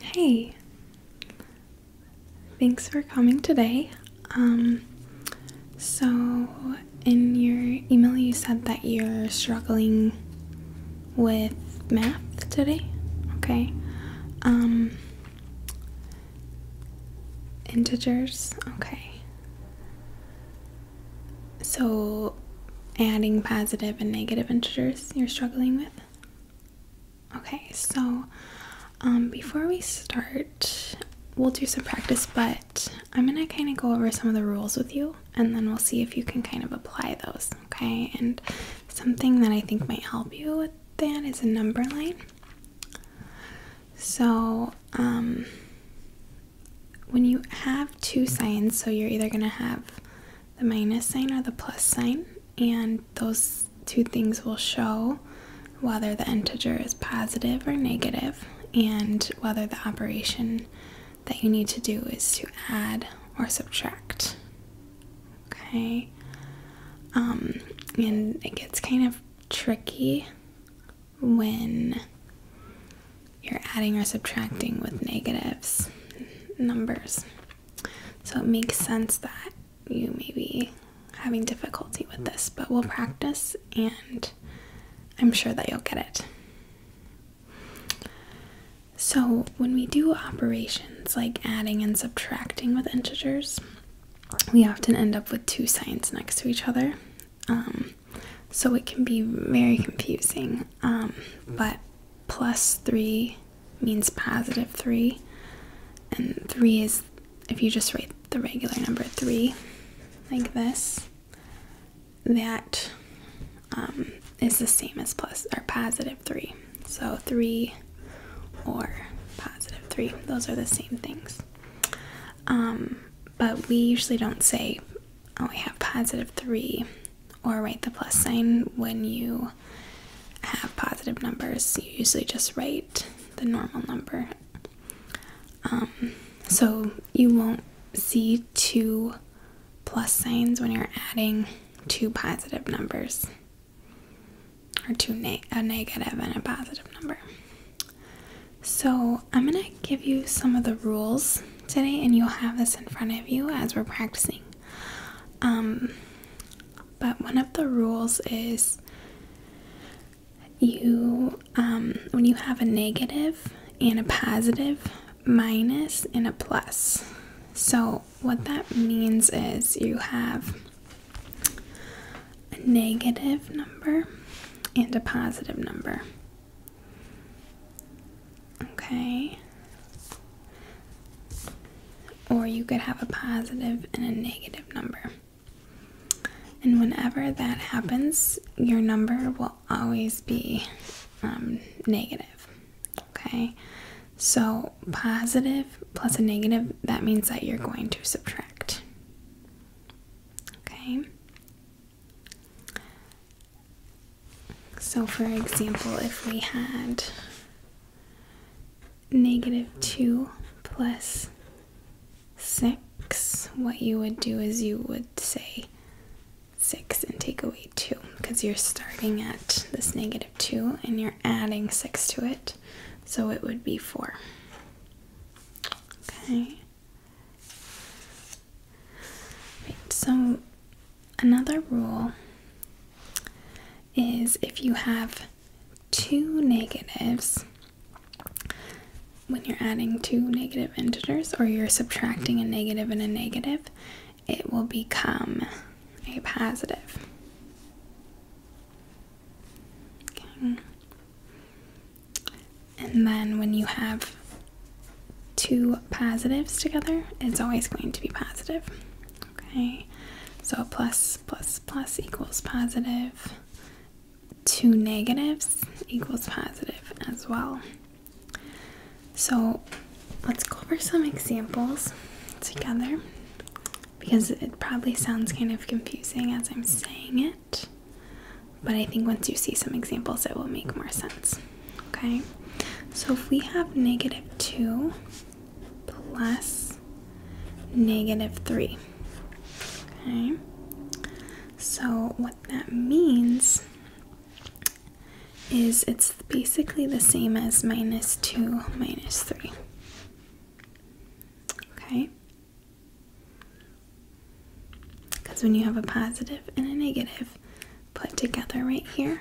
Hey, thanks for coming today. Um, so, in your email, you said that you're struggling with math today. Okay. Um, integers. Okay. So, adding positive and negative integers you're struggling with? Okay, so um, before we start, we'll do some practice, but I'm gonna kind of go over some of the rules with you and then we'll see if you can kind of apply those, okay? And something that I think might help you with that is a number line. So, um, when you have two signs, so you're either gonna have the minus sign or the plus sign, and those two things will show whether the integer is positive or negative and whether the operation that you need to do is to add or subtract. Okay, um, and it gets kind of tricky when you're adding or subtracting with negatives numbers. So it makes sense that you may be having difficulty with this, but we'll practice and I'm sure that you'll get it. So, when we do operations like adding and subtracting with integers, we often end up with two signs next to each other. Um, so, it can be very confusing, um, but plus 3 means positive 3, and 3 is if you just write the regular number 3 like this, That um, is the same as plus or positive 3. So 3 or positive 3, those are the same things. Um, but we usually don't say, oh, we have positive 3 or write the plus sign when you have positive numbers. You usually just write the normal number. Um, so you won't see two plus signs when you're adding two positive numbers or two a negative and a positive number. So I'm going to give you some of the rules today, and you'll have this in front of you as we're practicing. Um, but one of the rules is you, um, when you have a negative and a positive, minus and a plus. So, what that means is you have a negative number and a positive number. Okay. Or you could have a positive and a negative number. And whenever that happens, your number will always be um, negative. Okay. So positive plus a negative, that means that you're going to subtract. Okay. So, for example, if we had negative 2 plus 6, what you would do is you would say 6 and take away 2 because you're starting at this negative 2 and you're adding 6 to it, so it would be 4. Okay so another rule is if you have two negatives when you're adding two negative integers or you're subtracting a negative and a negative, it will become a positive. And then when you have two positives together, it's always going to be positive. Okay, so plus plus plus equals positive. Two negatives equals positive as well. So let's go over some examples together because it probably sounds kind of confusing as I'm saying it. But I think once you see some examples, it will make more sense. Okay, so if we have negative 2 plus negative 3, okay, so what that means is it's basically the same as minus 2 minus 3. Okay, because when you have a positive and a negative put together right here,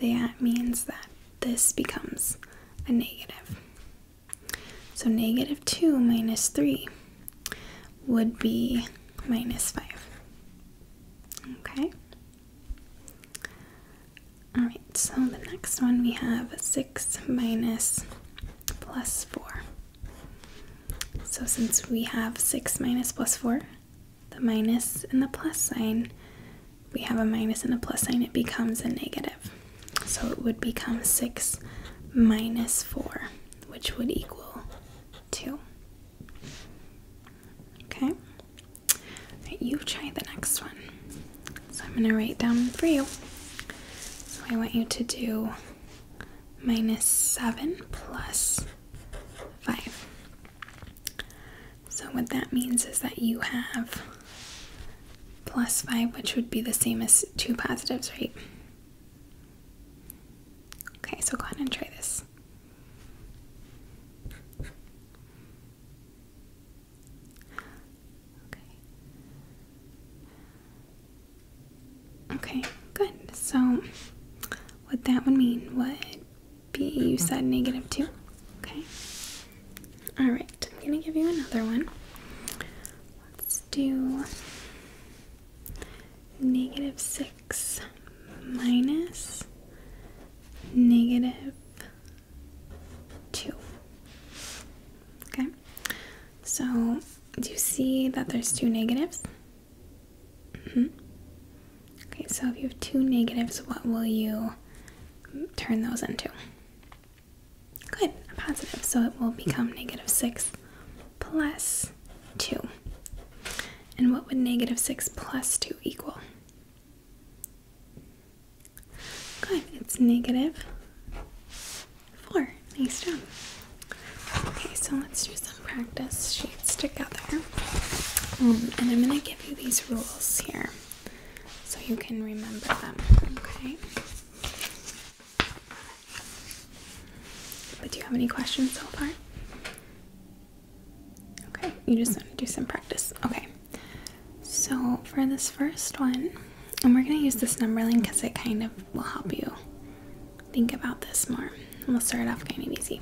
that means that this becomes a negative. So negative 2 minus 3 would be minus 5. Okay? Alright, so the next one we have 6 minus plus 4. So since we have 6 minus plus 4, the minus and the plus sign, we have a minus and a plus sign, it becomes a negative. So it would become 6 minus 4, which would equal 2. Okay? you try the next one. So I'm going to write down for you. So I want you to do minus 7 plus 5. So what that means is that you have plus 5, which would be the same as two positives, right? Okay, so go ahead and try this. Okay, good. So, what that would mean would be you said negative 2. Okay. Alright, I'm going to give you another one. Let's do negative 6 minus negative 2. Okay, so do you see that there's two negatives? -hmm. Okay, so if you have two negatives, what will you turn those into? Good, a positive. So it will become negative 6 plus 2. And what would negative 6 plus 2 equal? Good, it's negative Four. Nice job. Okay, so let's do some practice sheets together. Um, and I'm going to give you these rules here so you can remember them, okay? But do you have any questions so far? Okay, you just want to do some practice. Okay, so for this first one, and we're going to use this number line because it kind of will help you think about this more. we'll start off kind of easy.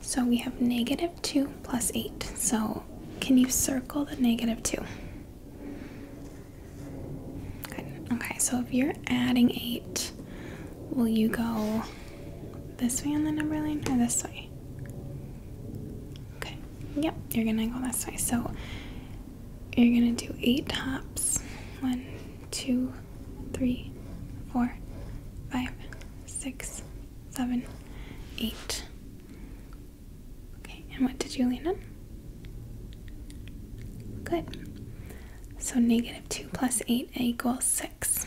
So we have negative 2 plus 8. So can you circle the negative 2? Good. Okay, so if you're adding 8, will you go this way on the number line or this way? Okay, yep, you're gonna go this way. So you're gonna do eight hops. One, two, three, four, five, six, seven, eight. Okay, and what did you land on? Good. So negative two plus eight equals six.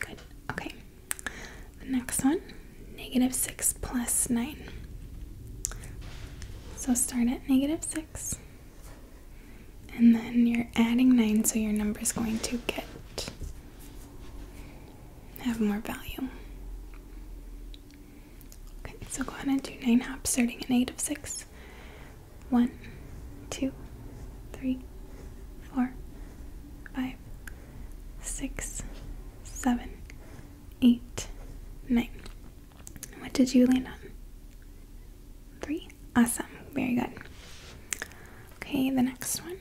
Good. Okay. The next one negative 6 plus 9. So start at negative 6. And then you're adding 9, so your number is going to get, have more value. Okay, so go ahead and do 9 hops starting at negative 6. 1, 2, 3, 4, 5, six, seven, eight, nine. What did you land on? Three. Awesome. Very good. Okay, the next one.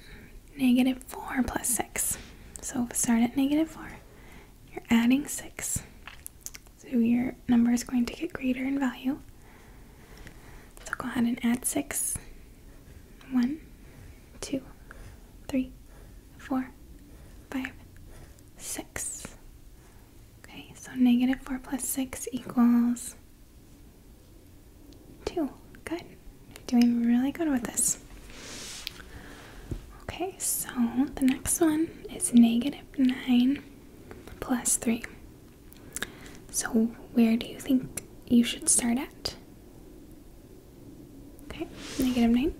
Negative 4 plus 6. So start at negative 4. You're adding 6. So your number is going to get greater in value. So go ahead and add 6. 1, two, three, four, five, six. Okay, so negative four plus six equals two. Good. Doing really good with this. Okay, so the next one is negative nine plus three. So where do you think you should start at? Okay, negative 9.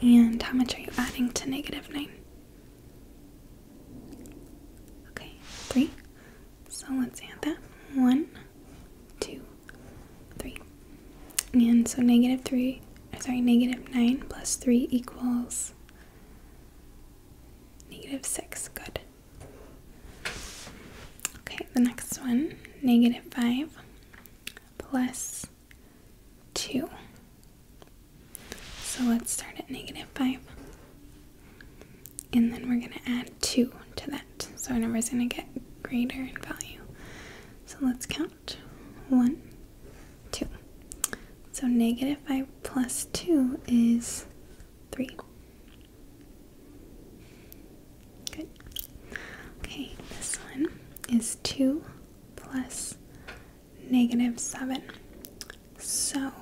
And how much are you adding to negative 9? Okay, 3. So let's add that. 1, 2, 3. And so negative 3, uh, sorry, negative 9 plus 3 equals negative 6. Good. Okay, the next one negative 5 plus 2. So let's start at negative 5. And then we're going to add 2 to that. So our number is going to get greater in value. So let's count 1, 2. So negative 5 plus 2 is three. Good. Okay, this one is 2 plus negative 7. So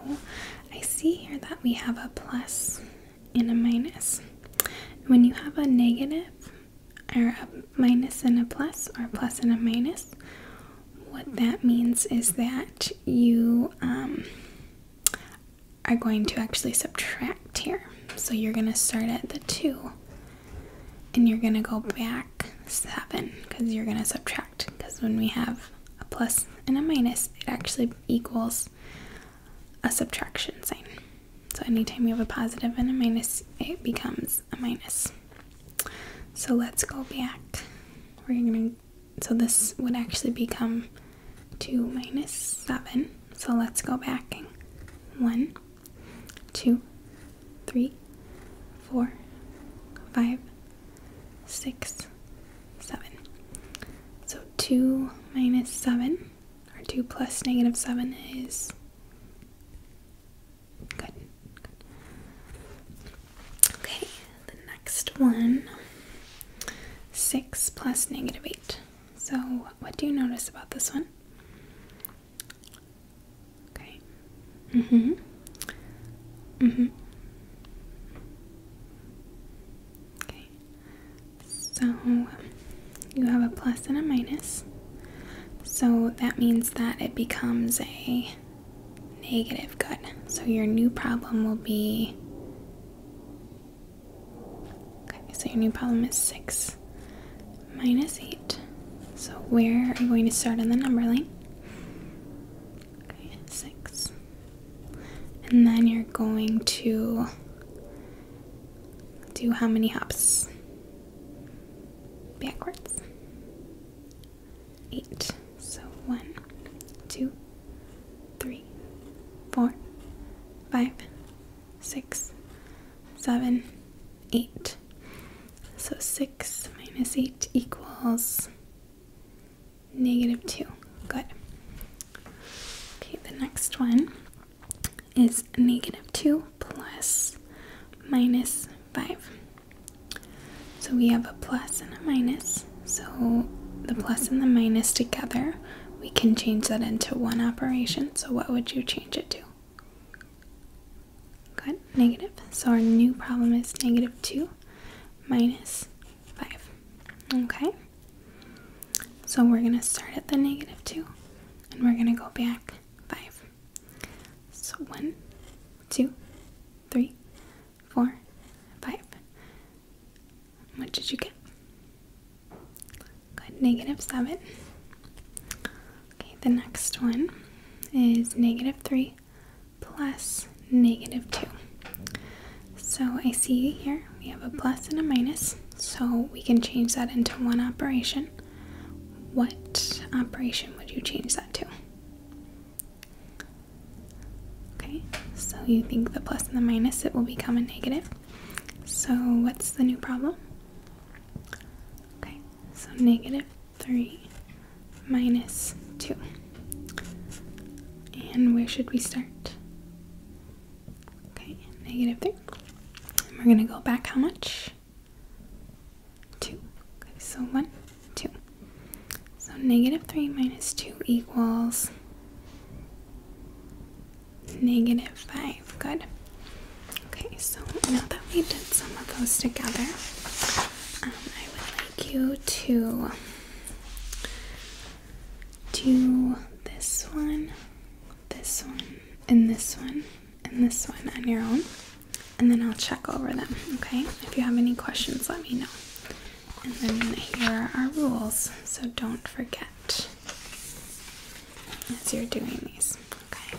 I see here that we have a plus and a minus. When you have a negative, or a minus and a plus, or a plus and a minus, what that means is that you um, are going to actually subtract here. So you're going to start at the 2 and you're going to go back 7 because you're going to subtract because when we have a plus and a minus, it actually equals a subtraction sign. So anytime you have a positive and a minus, it becomes a minus. So let's go back. We're going so this would actually become 2 minus 7. So let's go back. In. 1, 2, 3, 4, 5, 6, 7. So 2 minus 7, or 2 plus negative 7 is good. good. Okay, the next one 6 plus negative 8. So, what do you notice about this one? Okay. Mm hmm. Mm hmm. Okay. So, you have a plus and a minus. So, that means that it becomes a negative good. So, your new problem will be Okay, so your new problem is 6 minus 8. So where are you going to start on the number line? 6. And then you're going to do how many hops? Backwards. Eight. So one, two, three, four, five, six, seven, eight. So six minus eight equals negative two. Good. Okay, the next one is negative two plus minus five. So we have a plus and a minus. So the plus and the minus together, we can change that into one operation. So what would you change it to? Good, negative. So our new problem is negative 2 minus 5. Okay? So we're going to start at the negative 2 and we're going to go back 5. So one, two, three, four, five. What did you get? Good, negative seven. Okay, the next one is negative three plus negative two. So I see here we have a plus and a minus, so we can change that into one operation. What operation would you change that to? Okay, so you think the plus and the minus, it will become a negative. So what's the new problem? Okay, so negative 3 minus 2. And where should we start? Okay, negative 3. And we're going to go back how much? 2. Okay, so 1, 2. So negative 3 minus 2 equals negative 5. Good. Okay, so now that we did some of those together, um, I would like you to do this one, this one, and this one, and this one on your own, and then I'll check over them, okay? If you have any questions, let me know. And then here are our rules, so don't forget as you're doing these. Okay.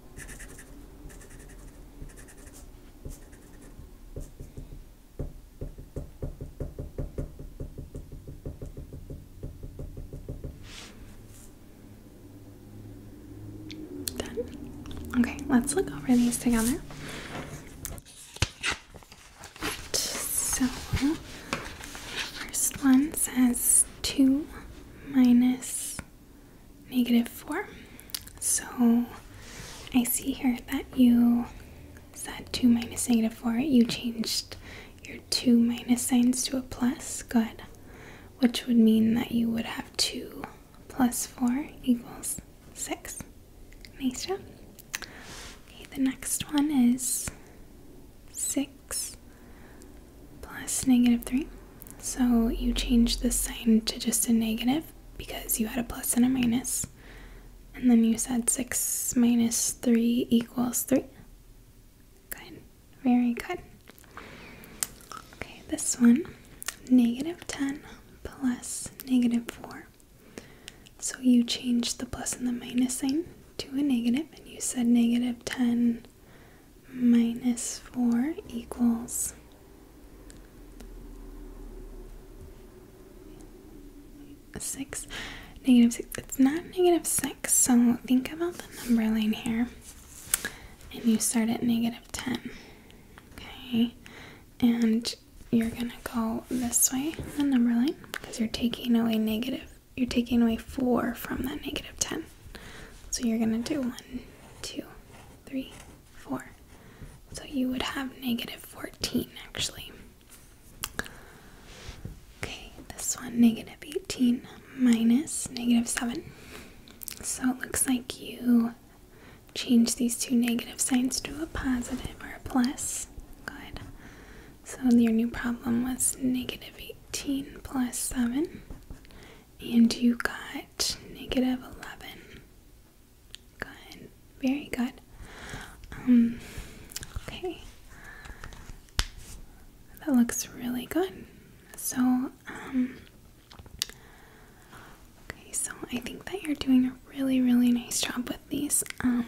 Done. Okay, let's look over these together. Right, so, first one says 2 minus negative 4. So I see here that you said 2 minus negative 4. You changed your 2 minus signs to a plus. Good. Which would mean that you would have 2 plus 4 equals 6. Nice job. Okay, the next one is 6 3. So you change the sign to just a negative because you had a plus and a And then you said 6 minus 3 equals 3. Good. Very good. Okay, this one negative 10 plus negative 4. So you changed the plus and the minus sign to a negative, and you said negative 10 4 equals 6. Negative 6. It's not negative 6, so think about the number line here. And you start at negative 10. Okay? And you're going to go this way, the number line, because you're taking away negative you're taking away 4 from that negative 10. So you're going to do 1, 2, 3, 4. So you would have negative 14 actually. Okay, this one, negative 18 minus negative 7. So it looks like you change these two negative signs to a positive or a plus. Good. So your new problem was negative 18 plus 7, and you got negative 11. Good, very good. Um, okay, that looks really good. So, um, okay, so I think that you're doing a really, really nice job with these. Um,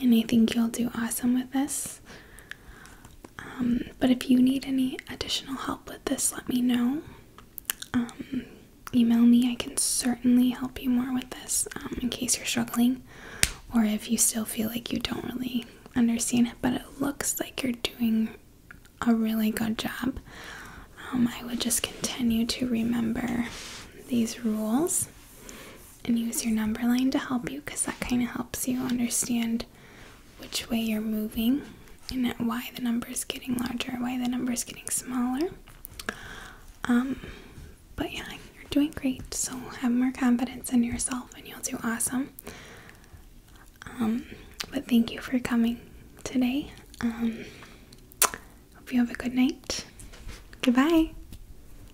and I think you'll do awesome with this. Um, but if you need any additional help with this, let me know. Um, email me, I can certainly help you more with this um, in case you're struggling or if you still feel like you don't really understand it, but it looks like you're doing a really good job. I would just continue to remember these rules and use your number line to help you because that kind of helps you understand which way you're moving and why the number is getting larger, why the number is getting smaller. Um, but yeah, you're doing great. So have more confidence in yourself and you'll do awesome. Um, but thank you for coming today. Um, hope you have a good night. Goodbye.